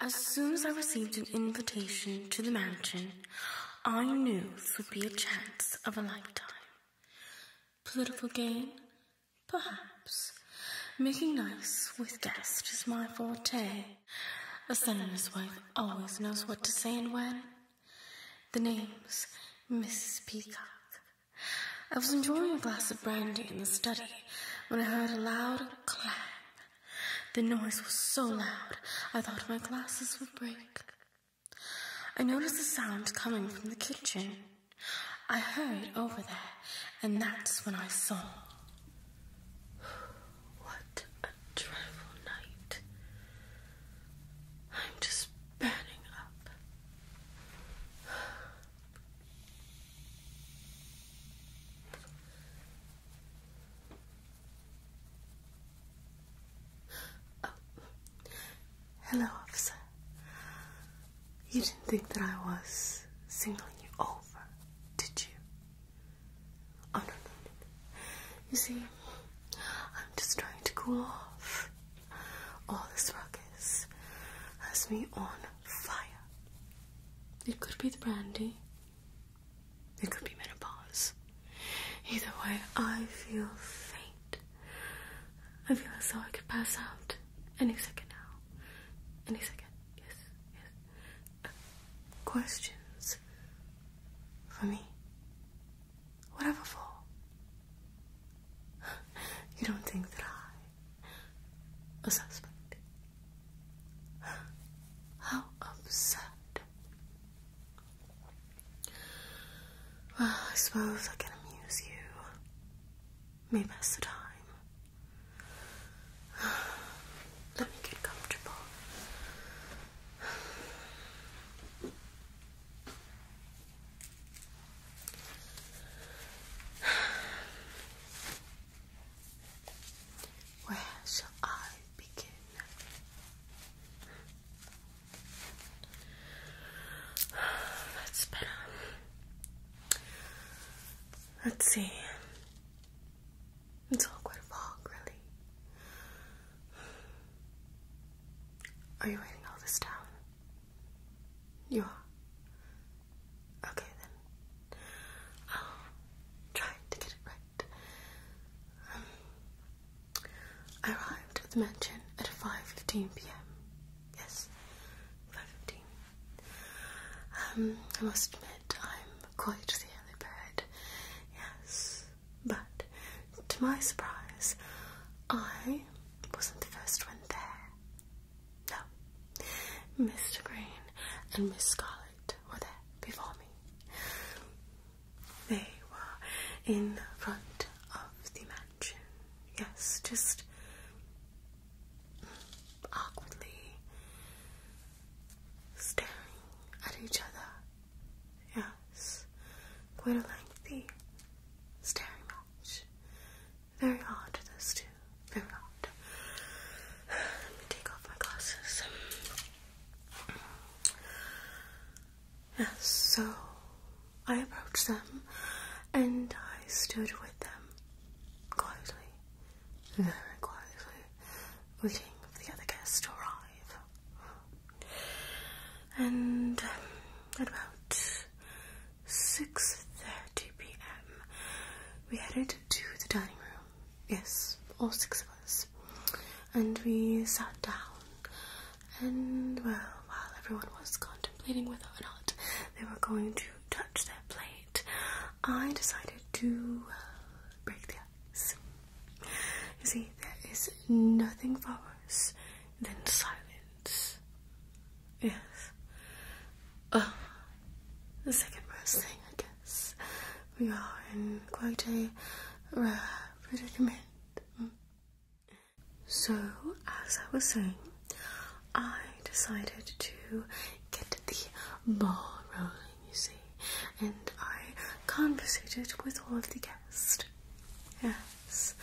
As soon as I received an invitation to the mountain, I knew this would be a chance of a lifetime. Political gain? Perhaps. Making nice with guests is my forte. A senator's wife always knows what to say and when. The name's Mrs. Peacock. I was enjoying a glass of brandy in the study when I heard a loud clang. The noise was so loud, I thought my glasses would break. I noticed a sound coming from the kitchen. I hurried over there, and that's when I saw. What a dreadful night. I'm just burning up. Hello, officer. You didn't think that I was singling you over, did you? Oh, no, no. no. You see, I'm just trying to cool off. All this ruckus has me on fire. It could be the brandy. It could be menopause. Either way, I feel faint. I feel as though I could pass out any second now. Any second. Yes, yes. Uh, questions for me? Whatever for. You don't think that I A suspect. How absurd. Well, I suppose I can amuse you. May pass the time. Let me get comfortable. Where shall I begin? That's better. Let's see. It's all quite really. Are you writing all this down? You are. Okay then. i to get it right. Um, I arrived at the mansion at 5.15 p.m. Yes, 5.15. Um, I must admit I'm quite the early bird. Yes, but to my surprise, I wasn't the first one there. No. Mr. Green and Miss Scarlet were there before me. They were in front of the mansion. Yes, just awkwardly staring at each other. Yes, quite a lengthy staring match. Very hard, those two. Very hard. Let me take off my glasses. Yes, so I approached them and I stood with them quietly, very quietly, waiting for the other guests to arrive. And um, at about 6.30 p.m. We headed to the dining room, yes, all six of us, and we sat down. And, well, while everyone was contemplating whether or not they were going to touch their plate, I decided to uh, break the ice. You see, there is nothing for worse than silence. Yes. Yes. Uh, the second worst thing, I guess. We are in quite a rare predicament. So, as I was saying, I decided to get the ball rolling, you see, and I conversated with all of the guests. Yes,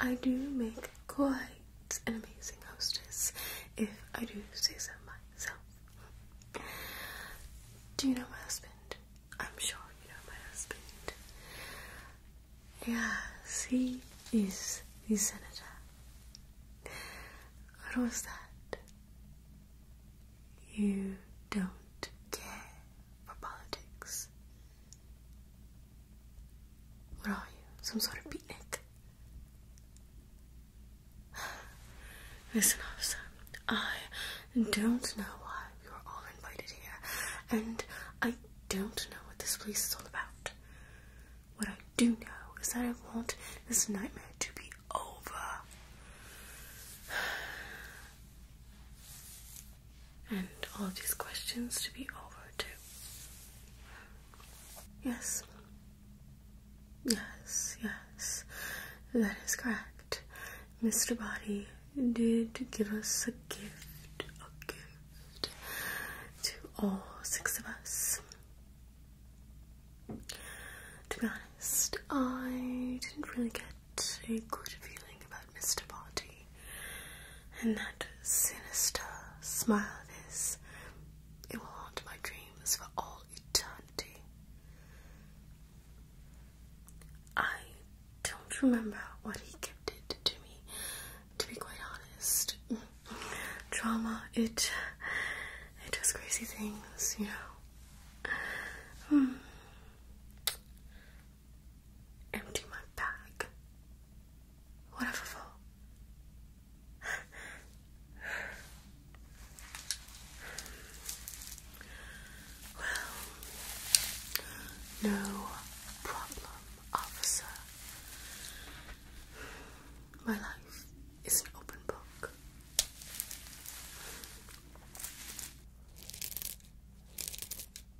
I do make quite an amazing hostess, if I do say so myself. Do you know my husband? I'm sure you know my husband. Yes, he is the senator. What was that? You don't care for politics. What are you? Some sort of beatnik? Listen, officer. I don't know why we are all invited here, and I don't know what this place is all about. What I do know is that I want this nightmare to be over and all these questions to be over too. Yes. Yes, yes, that is correct. Mr. Body did give us a gift, a gift to all six of us. To be honest, I didn't really get a good feeling about Mr. Barty, and that sinister smile of his. It will haunt my dreams for all eternity. I don't remember what he gifted to me, to be quite honest. trauma it it does crazy things, you know. Hmm. Empty my bag. Whatever for. well, no problem, officer. My life is an open book.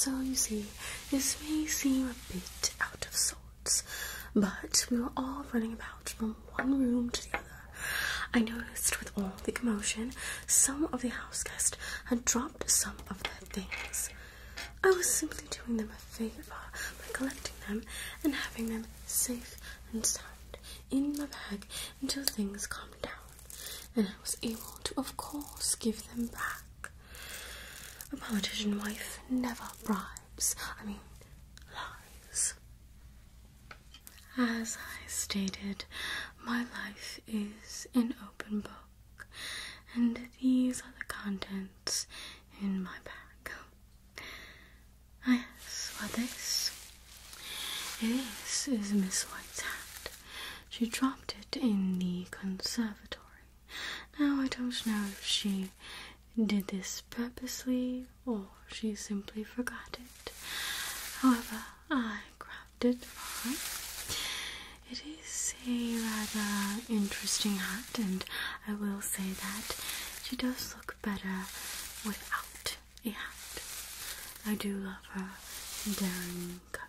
Okay, so you see, this may seem a bit out of sorts, but we were all running about from one room to the other. I noticed with all the commotion, some of the house guests had dropped some of their things. I was simply doing them a favor by collecting them and having them safe and sound in my bag until things calmed down, and I was able to, of course, give them back. A politician wife never bribes, I mean, lies. As I stated, my life is an open book, and these are the contents in my bag. Ah, yes, what this? This is Miss White's hat. She dropped it in the conservatory. Now, I don't know if she did this purposely or she simply forgot it. However, I grabbed it for It is a rather interesting hat, and I will say that she does look better without a hat. I do love her daring cut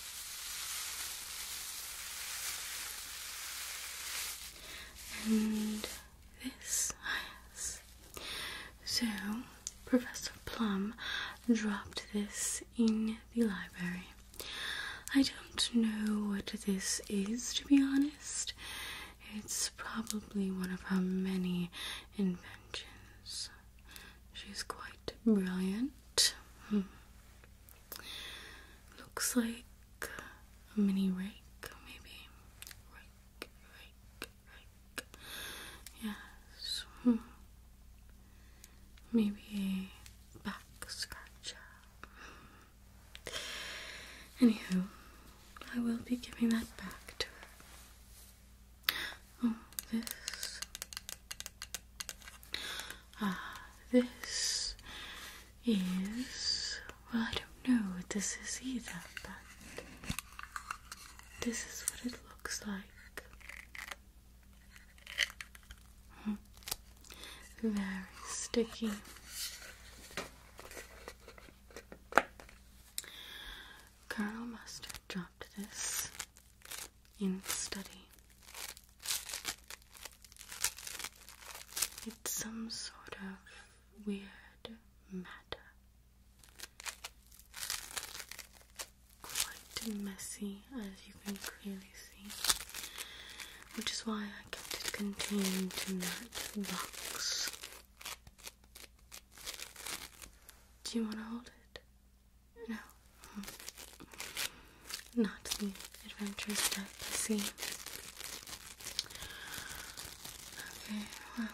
And this, yes. So, Professor Plum dropped this in the library. I don't know what this is, to be honest. It's probably one of her many inventions. She's quite brilliant. Hmm. Looks like a mini rake, maybe. Rake, rake, rake. Yes. Hmm. Maybe a back scratcher. Hmm. Anywho, I will be giving that back to her. Oh, this. Ah, this is. Well, I don't know what this is either, but this is what it looks like. Hmm. Very sticky. Colonel must have dropped this in study. It's some sort of weird matter. Quite messy, as you can clearly see, which is why I kept it contained in that box. Do you want to hold it? No. Not the Adventure stuff. you see. Okay, well.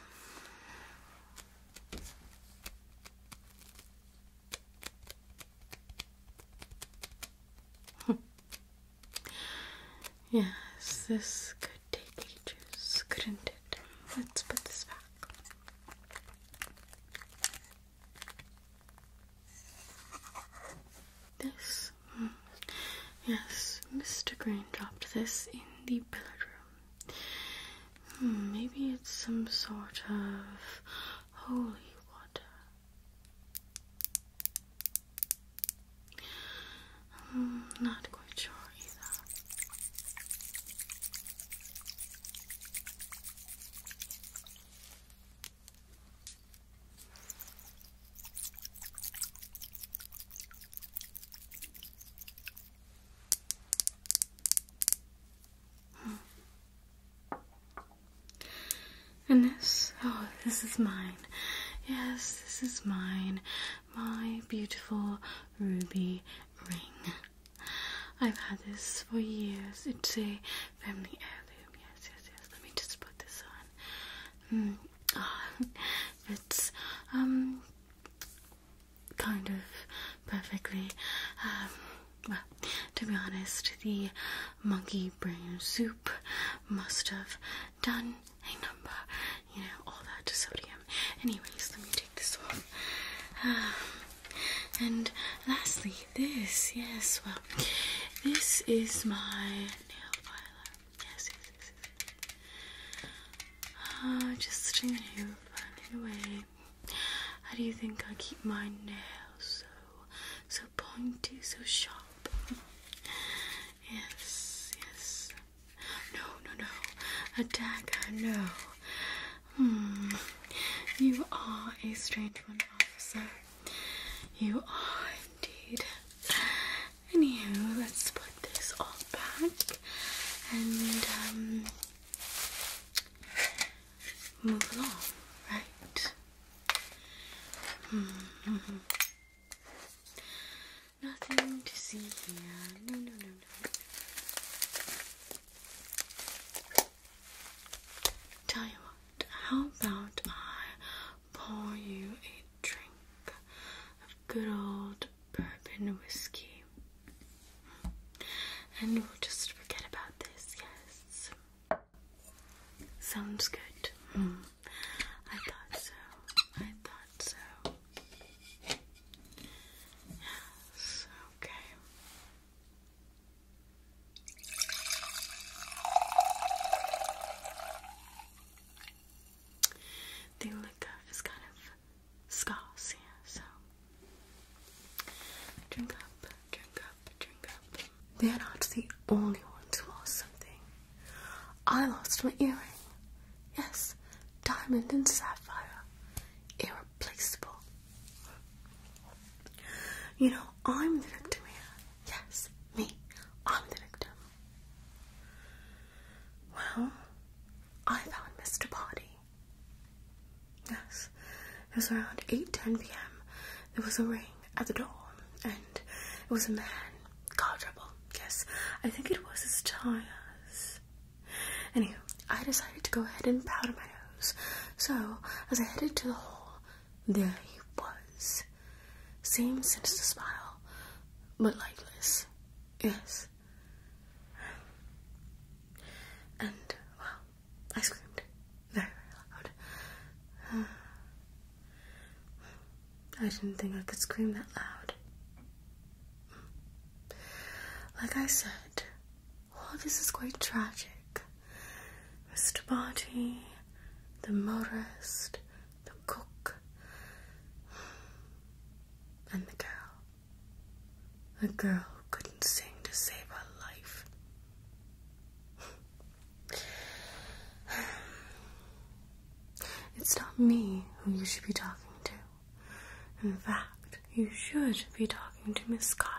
Yes, this could take ages, couldn't it? Let's put this back. This? Mm, yes, Mr. Green dropped this in the billiard room. Hmm, maybe it's some sort of holy water. Hmm, not quite sure Mm. And this, oh, this is mine. Yes, this is mine. My beautiful ruby ring. I've had this for years. It's a family heirloom. Yes, yes, yes. Let me just put this on. Mm. Oh, it's um kind of perfectly. Um, well, to be honest, the monkey brain soup must have done a number, you know, all that sodium. Anyways, let me take this off. Um, and lastly, this, yes, well, this is my nail filer. Yes, yes, yes. yes. Uh, just to nail filing How do you think I keep my nails so, so pointy, so sharp? yes, yes. No, no, no. A dagger, no. Hmm. You are a strange one, officer. You are indeed. Anywho, let's put this all back and um, move along, right? -hmm. hmm, hmm. Nothing to see here. Tell you what, how about I pour you a drink of good old bourbon whiskey? And we'll just forget about this, yes. Sounds good. Hmm. I thought so. I thought so. Yes, okay. The liquor is kind of scarce so drink up, drink up, drink up. They're not the only ones who lost something. I lost my earring. Yes, diamond and sapphire. Irreplaceable. You know, I'm the victim Yes, me. I'm the victim. Well, I found Mr. Body. Yes, it was around 8.10 p.m. There was a ring at the door, it was a man, car trouble, yes, I think it was his tires. Anywho, I decided to go ahead and powder my nose, so as I headed to the hall, there he was. Same sinister smile, but lightless, yes. And, well, I screamed very, very loud. I didn't think I could scream that loud. Like I said, all this is quite tragic. Mr. Barty, the motorist, the cook, and the girl. The girl who couldn't sing to save her life. It's not me who you should be talking to. In fact, you should be talking to Miss Scarlet.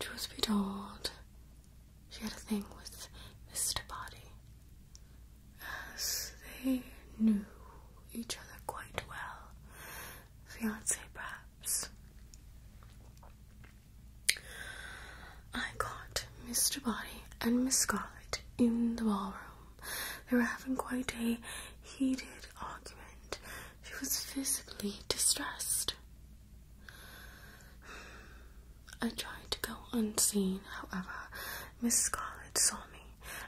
Truth be told, she had a thing with Mr. Body, as they knew each other quite well. Fiance, perhaps. I caught Mr. Body and Miss Scarlet in the ballroom. They were having quite a heated argument. She was physically distressed. I tried to go unseen, however. Miss Scarlet saw me,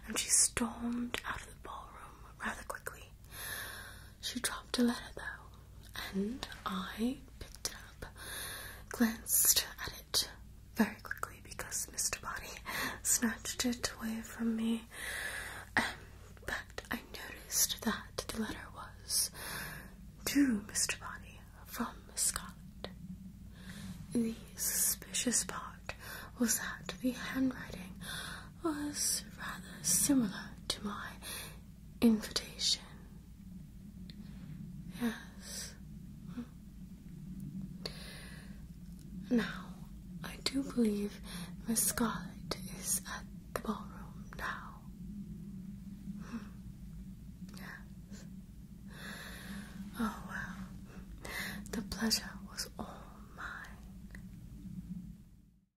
and she stormed out of the ballroom rather quickly. She dropped a letter though, and I picked it up, glanced at it very quickly because Mr. Body snatched it away from me. Um, but I noticed that the letter was to Mr. Body from Scott. The suspicious part was that the handwriting was rather similar to my invitation. Yes. Now, I do believe Miss Scarlet is at the ballroom now. Hmm. Yes. Oh, well. The pleasure was all mine.